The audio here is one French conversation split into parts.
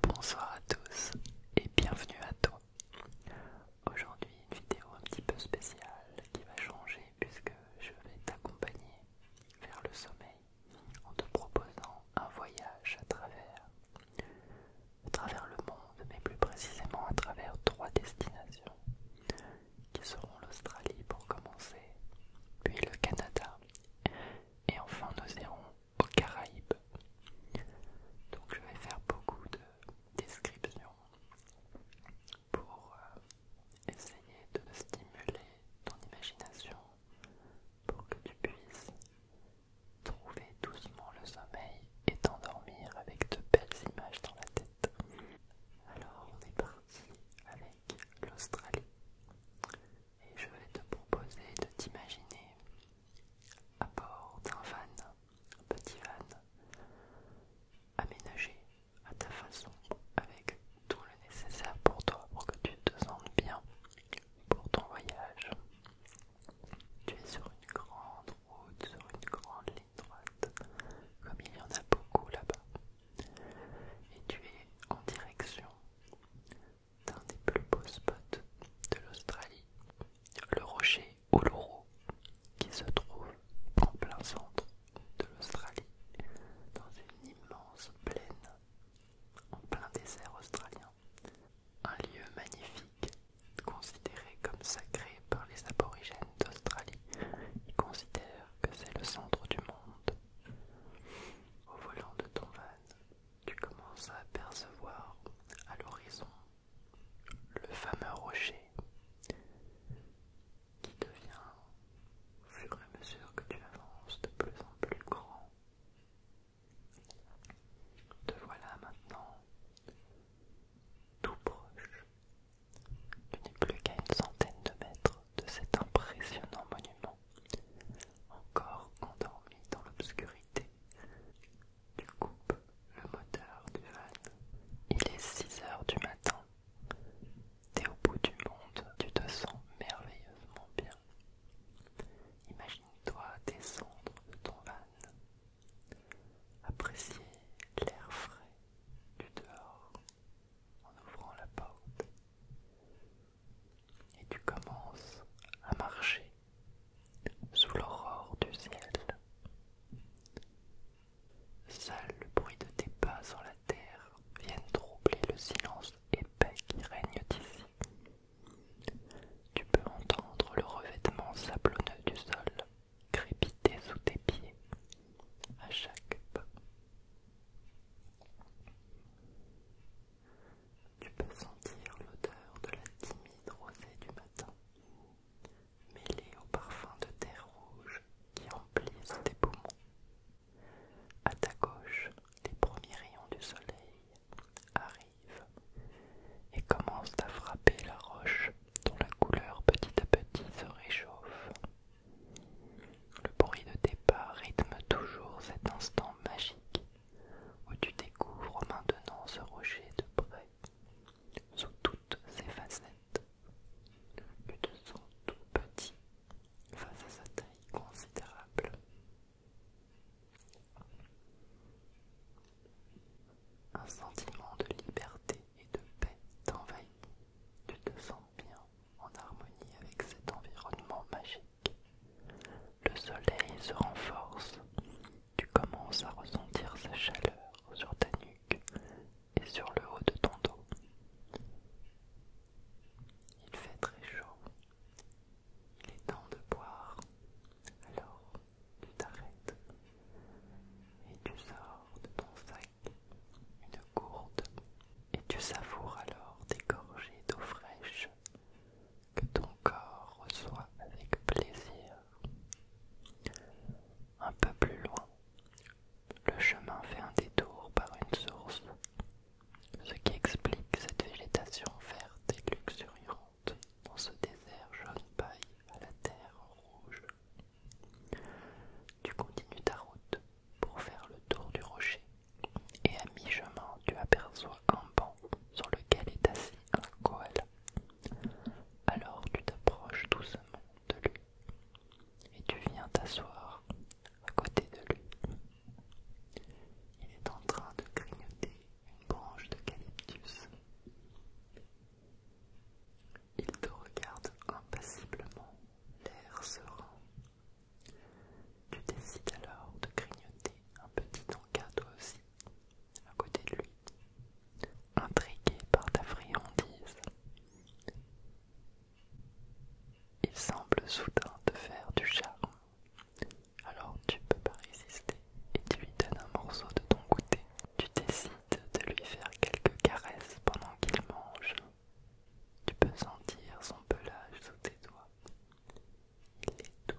Bonsoir à tous et bienvenue à toi. Aujourd'hui une vidéo un petit peu spéciale qui va changer puisque je vais t'accompagner vers le sommeil en te proposant un voyage à travers, le monde mais plus précisément à travers trois destinations qui seront l'Australie pour commencer, puis le Canada et enfin nous irons aux Caraïbes. Donc je vais faire beaucoup de descriptions pour euh, essayer de stimuler ton imagination pour que tu puisses trouver doucement le sommeil et t'endormir avec de belles images dans la tête. Alors on est parti avec l'Australie et je vais te proposer de t'imaginer à bord d'un van, un petit van, aménagé à ta façon, avec tout le nécessaire pour toi, pour que tu te sentes bien pour ton voyage. Tu es sur une grande route, sur une grande ligne droite, comme il y en a beaucoup là-bas. Et tu es en direction d'un des plus beaux spots de l'Australie, le rocher Uluru, qui se trouve en plein centre de l'Australie, dans une immense plaine, en plein désert australien. Un lieu magnifique, considéré comme sacré par les aborigènes d'Australie, qui considèrent que c'est le centre du monde. Au volant de ton van, tu commences à apercevoir à l'horizon le fameux rocher qui devient, au fur et à mesure que tu avances, de plus en plus grand. Te voilà maintenant tout proche. Tu n'es plus qu'à une centaine de mètres de cet impressionnant monument encore endormi dans l'obscurité. Tu coupes le moteur du van. Il est 6 heures du matin. T'es au bout du monde, tu te sens merveilleusement bien. Imagine-toi descendre de ton van, apprécier l'air frais du dehors en ouvrant la porte et tu commences à marcher sous l'aurore du ciel. Seul le bruit de tes pas sur la terre viennent troubler le silence épais qui règne ici. Tu peux entendre le revêtement sablonneux du sol crépiter sous tes pieds à chaque pas. Tu peux sentir l'odeur de la timide rosée du matin, mêlée au parfum de terre rouge qui emplit tes poumons. À ta gauche, les premiers rayons du soleil arrivent et commencent à frapper la roche dont la couleur petit à petit se réchauffe. Le bruit de tes pas rythme toujours cet instant magique où tu découvres maintenant ce rocher de près, sous toutes ses facettes. Tu te sens tout petit face à sa taille considérable. Un sentiment de liberté et de paix t'envahit. Tu te sens bien en harmonie avec cet environnement magique. Le soleil se renforce, tu commences à ressentir sa chaleur sur ta nuque et sur le haut de ton dos. Il fait très chaud. Il est temps de boire. Alors, tu t'arrêtes et tu sors de ton sac une gourde et tu savoures alors des gorgées d'eau fraîche que ton corps reçoit avec plaisir. Un peu plus loin, le chemin fait un détour par une source, ce qui explique cette végétation verte et luxuriante dans ce désert jaune paille à la terre rouge. Tu continues ta route pour faire le tour du rocher et à mi-chemin tu aperçois un banc sur lequel est assis un koala. Alors tu t'approches doucement de lui et tu viens t'asseoir à côté de lui. Il est en train de grignoter une branche d'eucalyptus. Il te regarde impassiblement, l'air serein tu décides alors de grignoter un petit encas toi aussi, à côté de lui, intrigué par ta friandise. Il semble soudain te faire du charme. Alors tu ne peux pas résister et tu lui donnes un morceau de ton goûter. Tu décides de lui faire quelques caresses pendant qu'il mange. Tu peux sentir son pelage sous tes doigts tout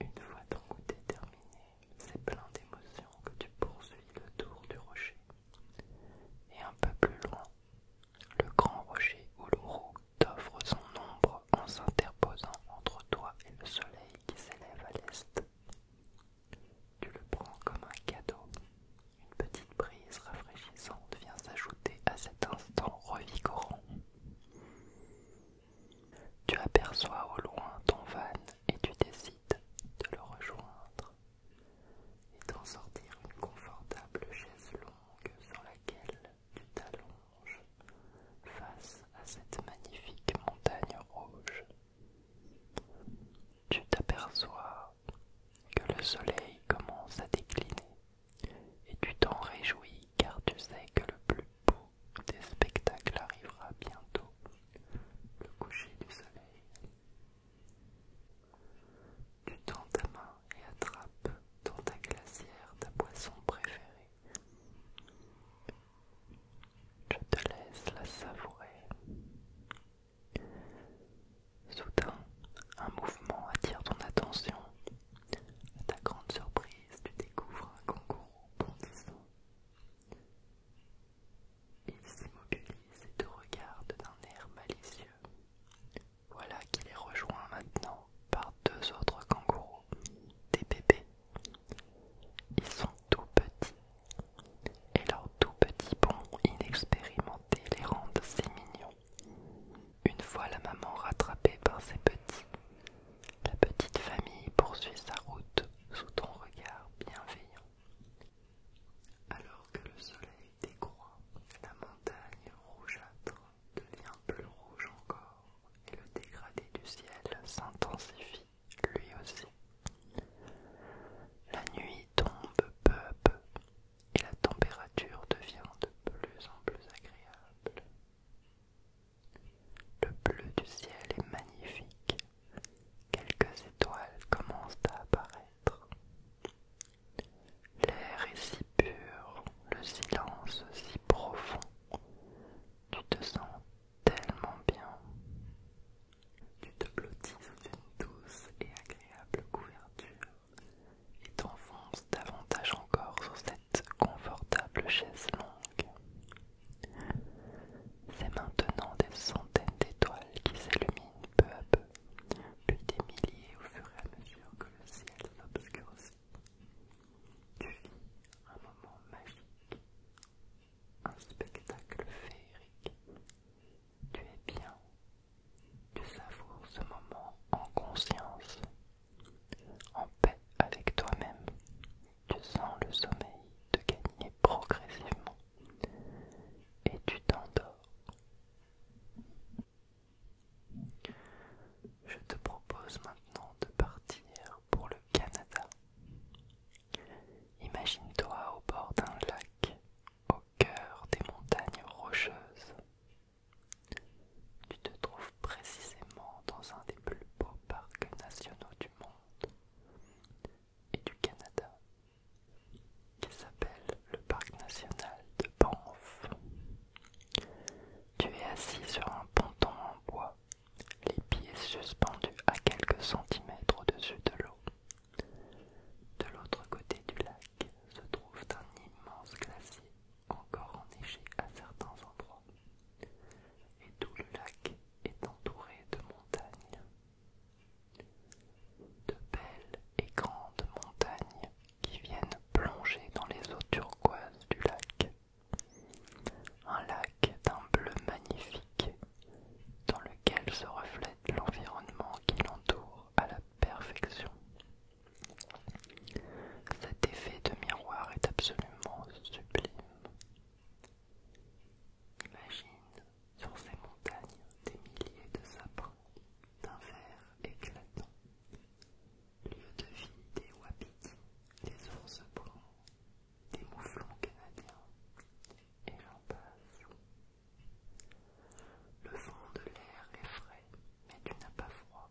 Une fois ton goûter terminé, c'est plein d'émotions que tu poursuis le tour du rocher. Et un peu plus loin, le grand rocher l'euro t'offre son ombre en s'interposant entre toi et le soleil qui s'élève à l'est. Tu le prends comme un cadeau une petite brise rafraîchissante vient s'ajouter à cet instant revigorant. Tu aperçois au loin ton van et tu décides de le rejoindre et d'en sortir une confortable chaise longue sur laquelle tu t'allonges face à cette magnifique montagne rouge. Tu t'aperçois que le soleil commence à décliner, et tu t'en réjouis car tu sais que le plus beau des spectacles arrivera bientôt, le coucher du soleil. Tu tends ta main et attrape dans ta glacière ta boisson préférée. Je te laisse la savourer. Soudain, un mouvement attire ton attention. À ta grande surprise, tu découvres un kangourou bondissant. Il s'immobilise et te regarde d'un air malicieux. Voilà qu'il est rejoint maintenant par deux autres kangourous, des bébés. Ils sont tout petits et leurs tout petits bonds inexpérimentés les rendent si mignons. Une fois la maman rattrapée par ses petits, la petite famille poursuit sa route sous ton regard bienveillant. Alors que le soleil décroît, la montagne rougeâtre devient plus rouge encore et le dégradé du ciel s'intensifie lui aussi. La nuit tombe peu à peu et la température devient de plus en plus agréable. Le bleu du ciel est magnifique. Quelques étoiles commencent à apparaître. L'air est si pur, le silence si profond. Tu te sens tellement bien. Tu te blottis sous une douce et agréable couverture et t'enfonces davantage encore sur cette confortable chaise longue. C'est maintenant des centaines d'étoiles qui s'illuminent peu à peu, puis des milliers au fur et à mesure que le ciel s'obscurcit. Tu vis un moment magique, un spectacle féerique. Tu es bien tu savours ce moment en conscience, en paix avec toi-même. Tu sens le sommeil te gagner progressivement et tu t'endors. Je te propose maintenant de partir pour le Canada. Imagine-toi au bord d'un lac au cœur des montagnes rocheuses. Tu te trouves précisément dans un des plus beaux parcs nationaux du monde et du Canada, qui s'appelle le parc national de Banff. Tu es assis sur un ponton en bois, les pieds suspendus à quelques centimètres au-dessus de l'eau. De l'autre côté du lac, se trouve un immense glacier encore enneigé à certains endroits, et tout le lac est entouré de montagnes. De belles et grandes montagnes qui viennent plonger dans les eaux turquoises du lac. Un lac d'un bleu magnifique dans lequel se reflète l'environnement qui l'entoure à la perfection. Cet effet de miroir est absolument sublime. Imagine sur ces montagnes des milliers de sapins d'un vert éclatant, lieu de vie des wapitis, des ours bruns, des mouflons canadiens, et j'en passe. Le vent de l'air est frais, mais tu n'as pas froid.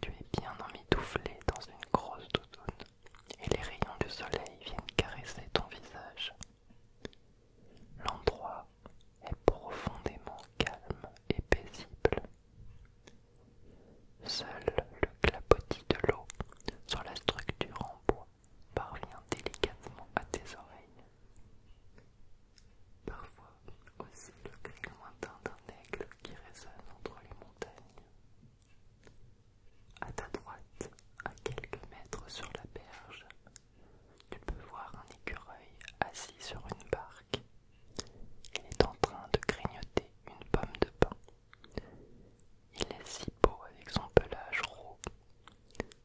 Tu es bien emmitouflé dans une grosse doudoune, et les rayons du soleil viennent caresser ton visage. L'endroit est profondément calme et paisible. Seul le clapotis de l'eau sur la structure en bois parvient délicatement à tes oreilles. Parfois aussi le cri lointain d'un aigle qui résonne entre les montagnes. À ta droite, à quelques mètres sur la berge, tu peux voir un écureuil assis sur une barque. Il est en train de grignoter une pomme de pain. Il est si beau avec son pelage roux.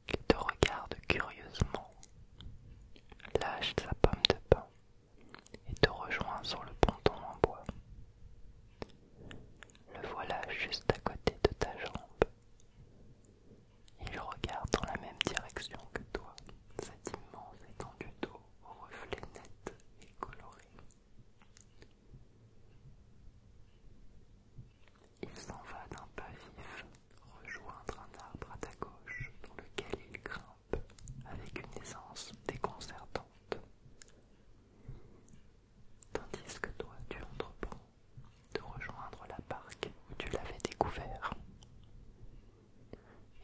Il te regarde curieusement, lâche sa pomme de pain et te rejoint sur le ponton en bois. Le voilà juste à côté de ta jambe. Il regarde dans la même direction que toi, cette immense étendue d'eau reflet net et coloré. Il s'en va d'un pas vif, rejoindre un arbre à ta gauche dans lequel il grimpe avec une aisance déconcertante. Tandis que toi tu entreprends de rejoindre la barque où tu l'avais découvert.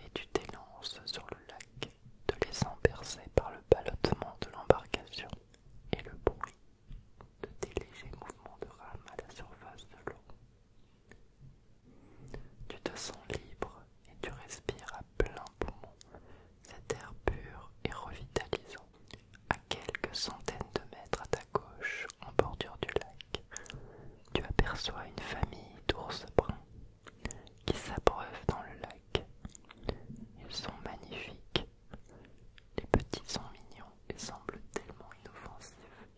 Et tu t'élances sur le lac, te laissant bercer par le balottement de l'embarcation et le bruit de tes légers mouvements de rame à la surface de l'eau. Tu te sens libre et tu respires à plein poumon cet air pur et revitalisant. À quelques centaines de mètres à ta gauche, en bordure du lac, tu aperçois une famille d'ours bruns qui s'abreuvent dans le lac. Ils sont magnifiques. Les petits sont mignons et semblent tellement inoffensifs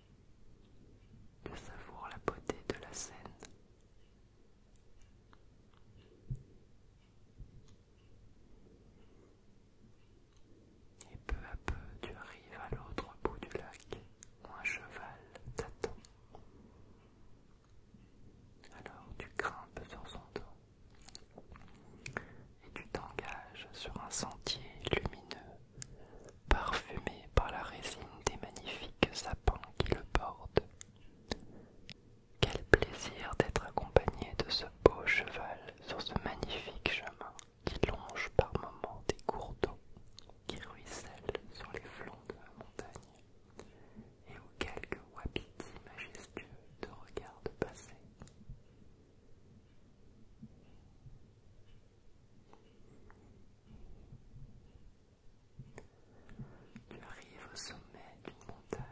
de savoir la beauté de la scène. Et peu à peu, tu arrives à l'autre bout du lac où un cheval t'attend. Alors tu grimpes sur son dos et tu t'engages sur un sentier lumineux parfumé par la résine des magnifiques sapins qui le bordent. Quel plaisir d'être accompagné de ce beau cheval sur ce magnifique chemin qui longe par moments des cours d'eau qui ruissellent sur les flancs de la montagne et où quelques wapitis majestueux de regardent passer. Tu arrives au sommet d'une montagne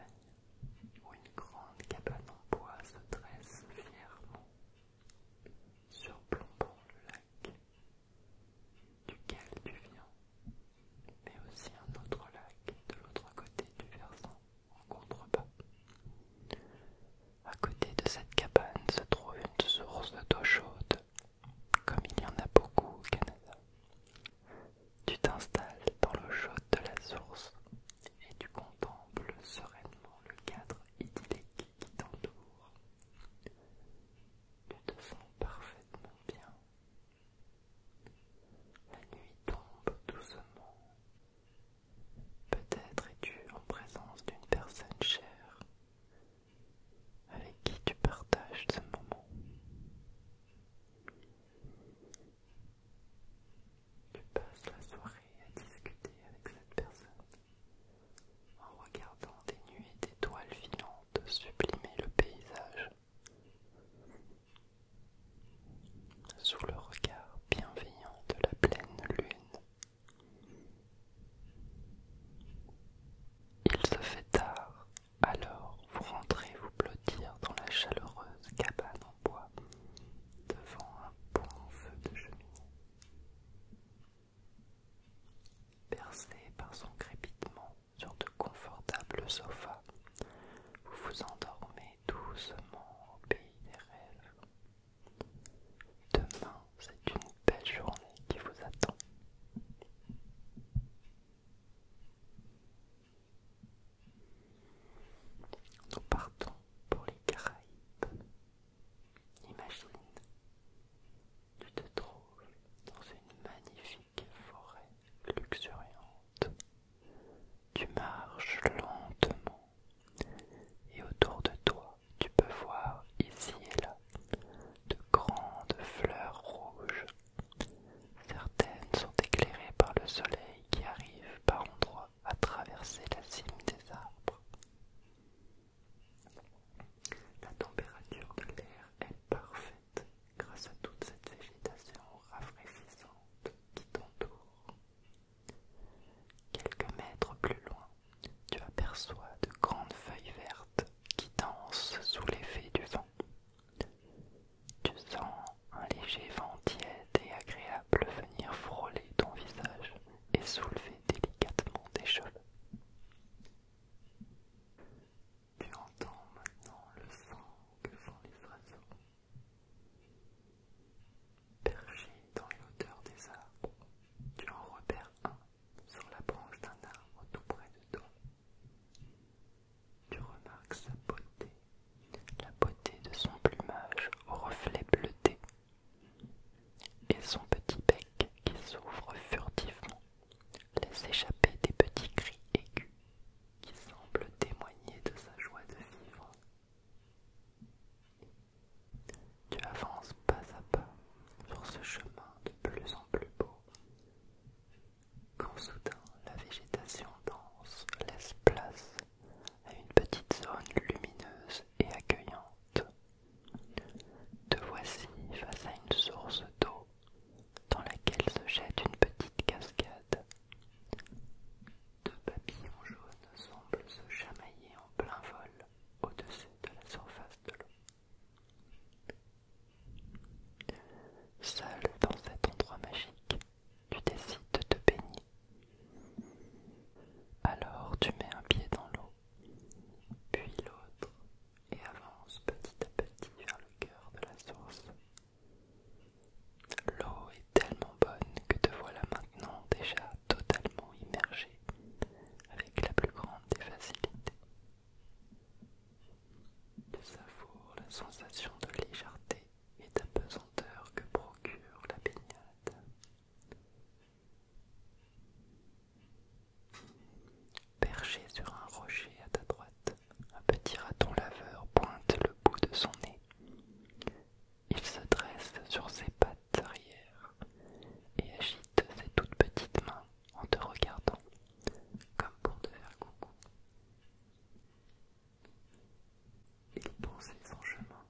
où une grande cabane en bois se dresse fièrement, surplombant le lac, duquel tu viens, mais aussi un autre lac de l'autre côté du versant en contrebas. À côté de cette cabane se trouve une source d'eau chaude, comme il y en a beaucoup au Canada. Tu t'installes dans l'eau chaude de la source et tu contemples sereinement le cadre idyllique qui t'entoure. Tu te sens parfaitement bien. La nuit tombe doucement Peut-être es-tu en présence d'une personne chère avec qui tu partages ce moment. Tu passes la soirée à discuter avec cette personne en regardant des nuées d'étoiles filantes sublimer le paysage. Sous le regard bienveillant de la pleine lune, il se fait tard, alors vous rentrez vous blottir dans la chaleureuse cabane en bois devant un bon feu de cheminée. Percé par son crépitement sur de confortables sofas, vous vous endormez doucement au pays des rêves. Demain, c'est une belle journée qui vous attend. Nous partons pour les Caraïbes. Imagine, tu te trouves dans une magnifique forêt luxuriante. Tu marches lentement et autour de toi, tu peux voir ici et là de grandes fleurs rouges. Certaines sont éclairées par le soleil qui arrive par endroits à traverser la cime des arbres. La température de l'air est parfaite grâce à toute cette végétation rafraîchissante qui t'entoure. Quelques mètres plus loin, tu aperçois de grandes feuilles vertes qui dansent sous l'effet du vent. Tu sens un léger vent tiède et agréable venir frôler ton visage et soulever délicatement tes cheveux. Tu entends maintenant le sang que font les oiseaux. Perché dans l'odeur des arbres, tu en repères un sur la branche d'un arbre tout près de toi. Tu remarques sa beauté, la beauté de son plumage au reflet bleuté et son petit bec qui s'ouvre furtivement laisse échapper des petits cris aigus qui semblent témoigner de sa joie de vivre tu avances pas à pas sur ce chemin de plus en plus beau, quand soudain la végétation dense laisse place à une petite zone lumineuse et accueillante. Te voici face à une source d'eau dans laquelle se jette une petite cascade. Deux papillons jaunes semblent se chamailler en plein vol au-dessus de la surface de l'eau. Seul dans cet endroit magique, tu décides de te baigner. Alors tu mets un pied dans l'eau, puis l'autre, et avances petit à petit vers le cœur de la source. L'eau est tellement que te voilà maintenant déjà totalement immergé avec la plus grande des facilités. savour, la sensation de légèreté et pesanteur que procure la baignade. Perché sur un rocher à ta droite, un petit raton laveur pointe le bout de son nez il se dresse sur ses pattes arrière et agite ses toutes petites mains en te regardant, comme pour te faire coucou. Il poursuit son chemin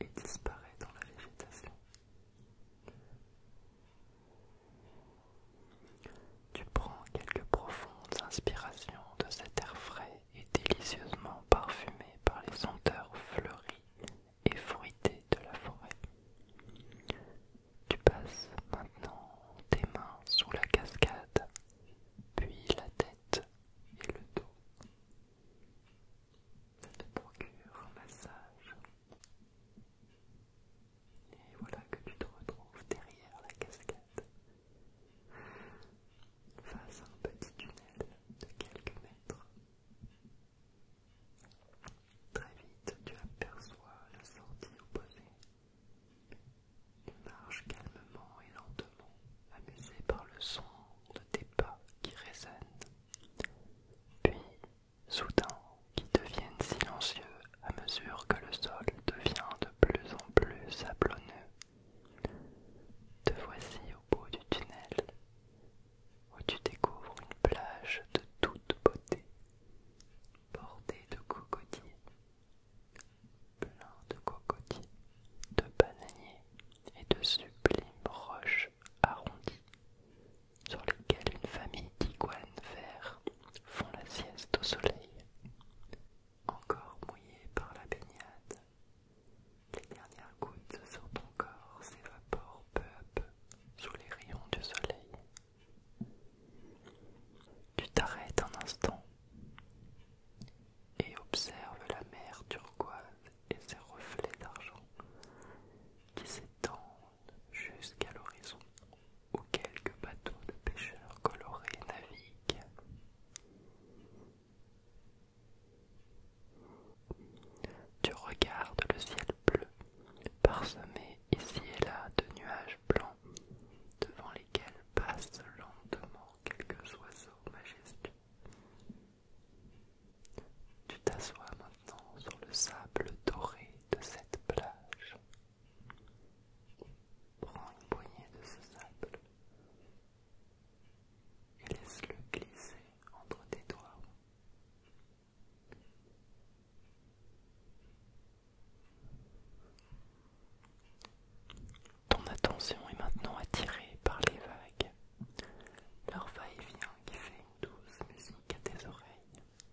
et disparaît dans la végétation. Tu prends quelques profondes inspirations de cet air frais et délicieusement parfumé par les senteurs fleuries et fruité de la forêt. Tu passes maintenant tes mains sous la cascade, puis la tête et le dos. Ça te procure un massage. Et voilà que tu te retrouves derrière la cascade, face à un petit tunnel de quelques mètres Très vite, tu aperçois la sortie opposée. Tu marches calmement et lentement, amusé par le son de tes pas qui résonnent, puis soudain qui deviennent silencieux à mesure que le sol devient de plus en plus sablonneux. Te voici au bout du tunnel, où tu découvres une plage de toute beauté, bordée de cocotiers, plein de cocotiers, de bananiers et de sublimes roches arrondies sur lesquelles une famille d'iguanes verts font la sieste au soleil. Encore mouillée par la baignade, les dernières gouttes sur ton corps s'évaporent peu à peu sous les rayons du soleil. Tu t'arrêtes un instant et observes la mer turquoise et ses reflets d'argent qui s'étendent jusqu'à l'horizon où quelques bateaux de pêcheurs colorés naviguent. Tu regardes le ciel bleu, parsemé ici et là de nuages blancs, devant lesquels passent lentement quelques oiseaux majestueux. Tu t'assois maintenant sur le sable doré de cette plage. Prends une poignée de ce sable et laisse-le glisser entre tes doigts. Ton attention est maintenant attirée par les vagues, leur va-et-vient qui fait une douce musique à tes oreilles.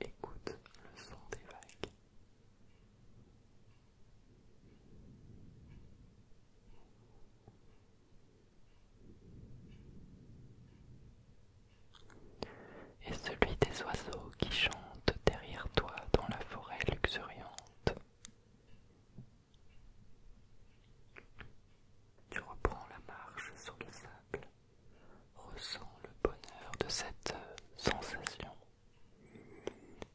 Écoute le son des vagues et celui des oiseaux qui chantent derrière toi dans la forêt luxuriante. Tu reprends la marche sur le sable, ressens le bonheur de cette sensation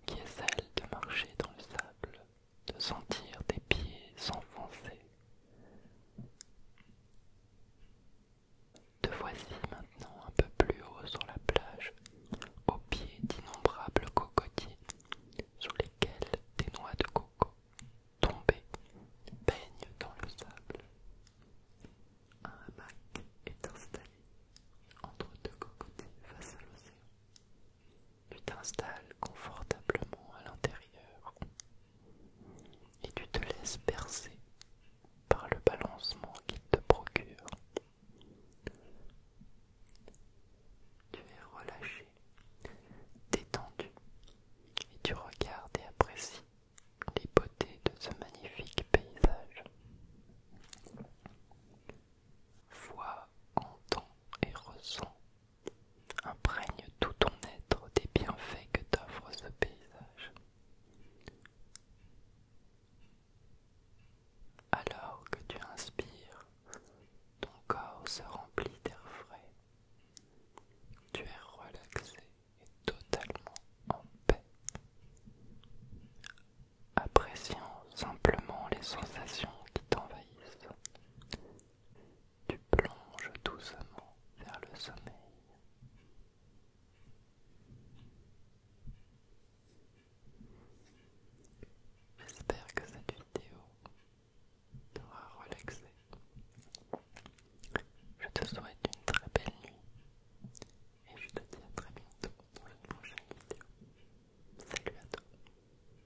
qui est celle de marcher dans le sable de sentir tes pieds s'enfoncer. Te voici maintenant un peu plus haut sur la plage, au pied d'innombrables cocotiers sous lesquels des noix de coco tombées baignent dans le sable. Un hamac est installé entre deux cocotiers face à l'océan. Tu t'installes confortablement à l'intérieur et tu te laisses bercer par le balancement qu'il te procure. Tu es relâché, détendu et tu regardes et apprécies les beautés de ce magnifique paysage. Vois, entends et ressens Imprègne tout ton être des bienfaits que t'offre ce paysage. Alors que tu inspires, ton corps se remplit d'air frais. Tu es relaxé et totalement en paix. Appréciant simplement les sensations qui t'envahissent, tu plonges doucement vers le sommeil. J'espère que cette vidéo t'aura relaxé. Je te souhaite une très belle nuit et je te dis à très bientôt dans une prochaine vidéo. Salut à toi.